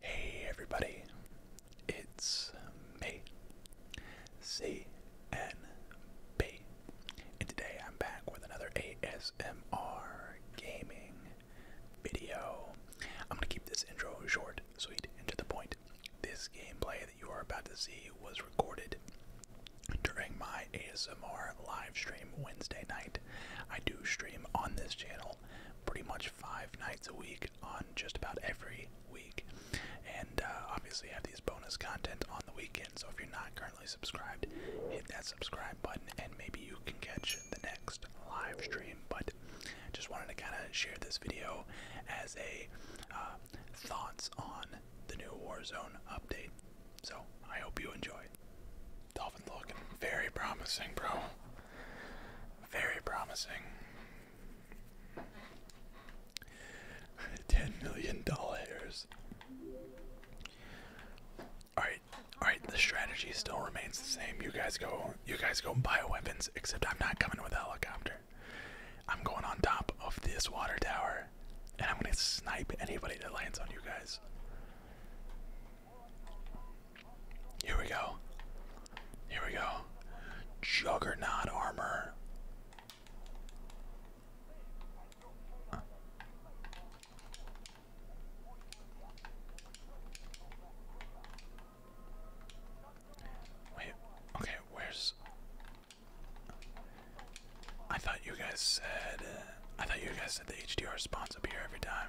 Hey everybody, it's me, C N B, and today I'm back with another ASMR gaming video. I'm gonna keep this intro short, sweet, and to the point. This gameplay that you are about to see was recorded during my ASMR live stream Wednesday night. I do stream on this channel pretty much five nights a week on just about every week, and uh, obviously have these bonus content on the weekend. So if you're not currently subscribed, hit that subscribe button, and maybe you can catch the next live stream. But just wanted to kind of share this video as a uh, thoughts on the new Warzone update. So I hope you enjoy. Dolphins looking very promising, bro. Very promising. Ten million dollars. Alright, alright, the strategy still remains the same. You guys go you guys go buy weapons, except I'm not coming with a helicopter. I'm going on top of this water tower, and I'm gonna snipe anybody that lands on you guys. Here we go. Here we go. Juggernaut armor. Wait, okay, where's. I thought you guys said. Uh, I thought you guys said the HDR spawns up here every time.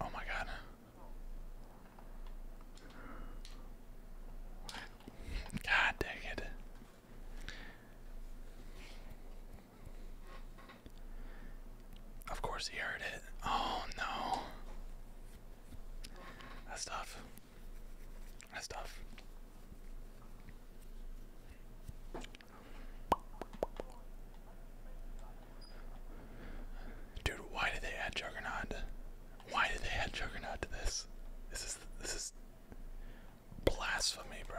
Oh my god. God dang it. Of course he heard it. Oh no. That's tough. That's tough. Dude, why did they add Juggernaut? Why did they add Juggernaut to this? This is this is blasphemy, bro.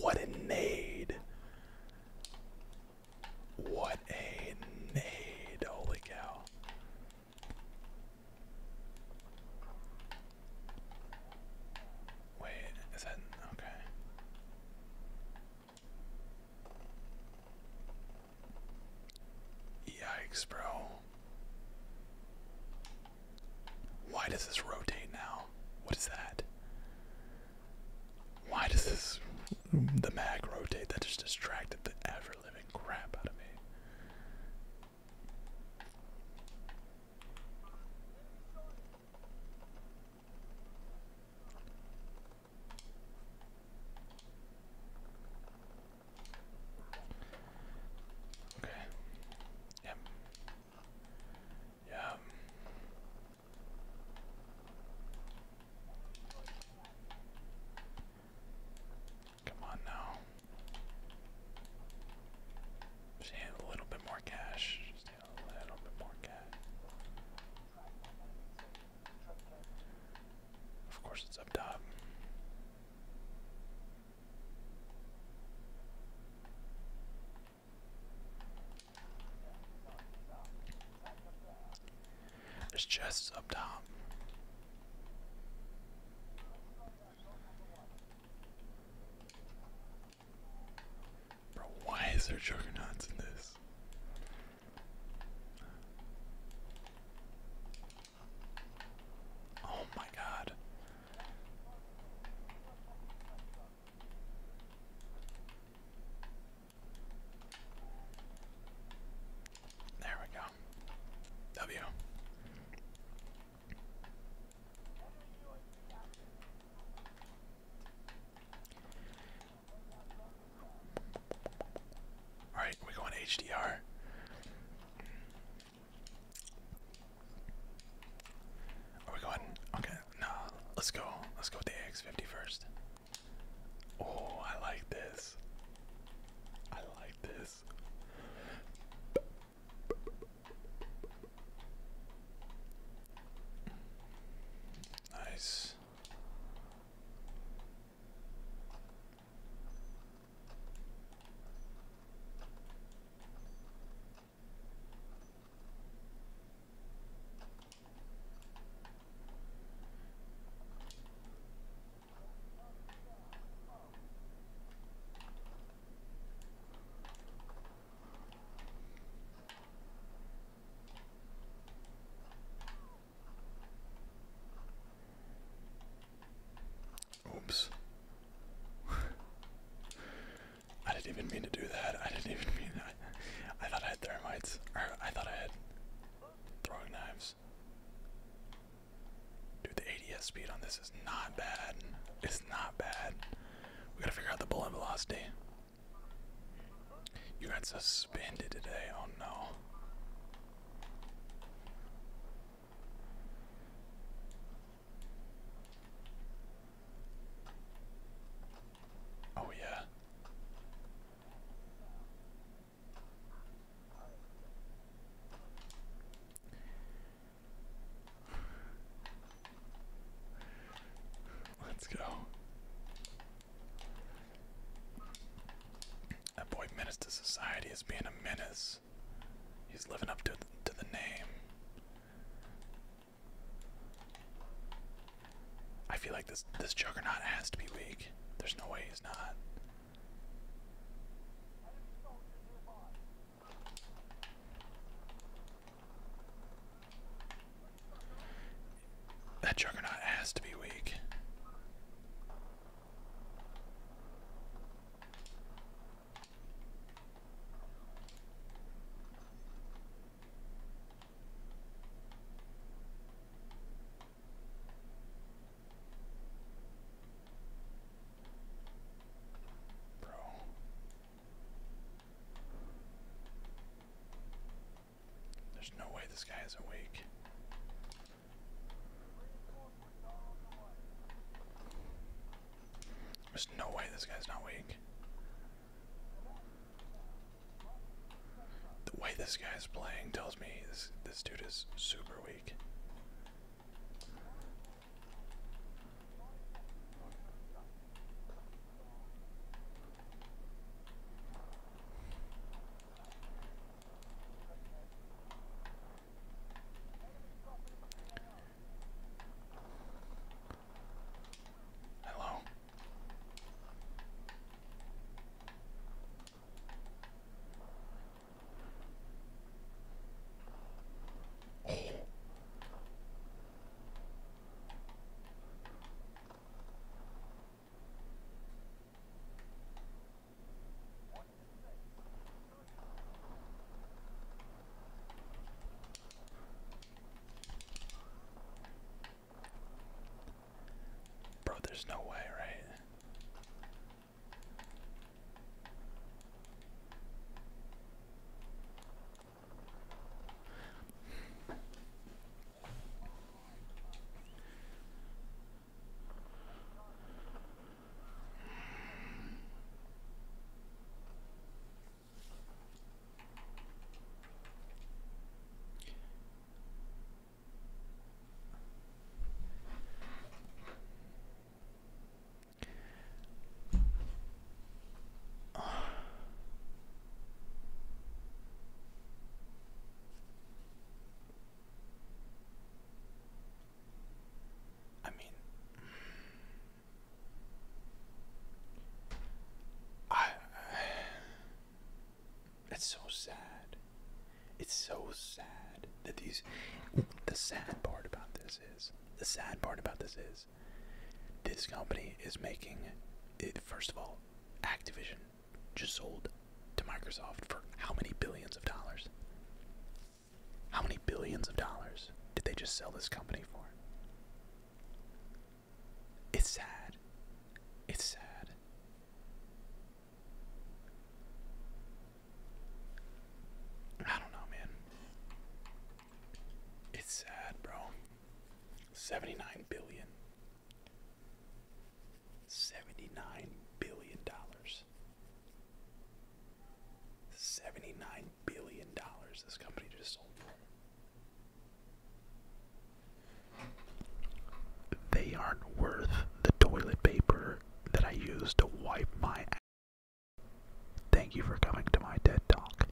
What a nade. What a nade. Holy cow. Wait, is that okay? Yikes, bro. Why does this rotate now? What is that? Why does this the mag rotate? That just distracted the ever living living crap out of me. Okay. Yep. Yep. Come on now. Just a little bit more cash. Just a little bit more cash. Of course, it's up top. There's chests up top. Bro, why is there juggernauts in this? Oh my god. There we go. W. Alright, we go HDR. Are we going? Okay, no. Let's go. Let's go with the x 50 first. Oh, I like this. I like this. Nice. Oops. I didn't even mean to do that. I didn't even mean I thought I had thermites. Or I thought I had throwing knives. Dude, the ADS speed on this is not bad. It's not bad. We gotta figure out the bullet velocity. You got suspended today. Oh no. Oh, yeah. Let's go. That boy menace to society is being a menace. He's living up to to the name. I feel like this this juggernaut has to be weak. There's no way he's not. That juggernaut has to be weak. Bro. There's no way this guy is awake. There's no way this guy's not awake. The way this guy's playing tells me this this dude is super weak. Hello. Oh. Bro, there's no way, right? I mean, I, it's so sad. It's so sad that these. The sad part about this is the sad part about this is this company is making it. First of all, Activision just sold to Microsoft for how many billions of dollars? How many billions of dollars did they just sell this company for? It's sad. It's sad. I don't know, man. It's sad, bro. 79 billion. 79 billion dollars. $79 billion this company just sold They aren't worth the toilet paper that I use to wipe my Thank you for coming to my TED Talk.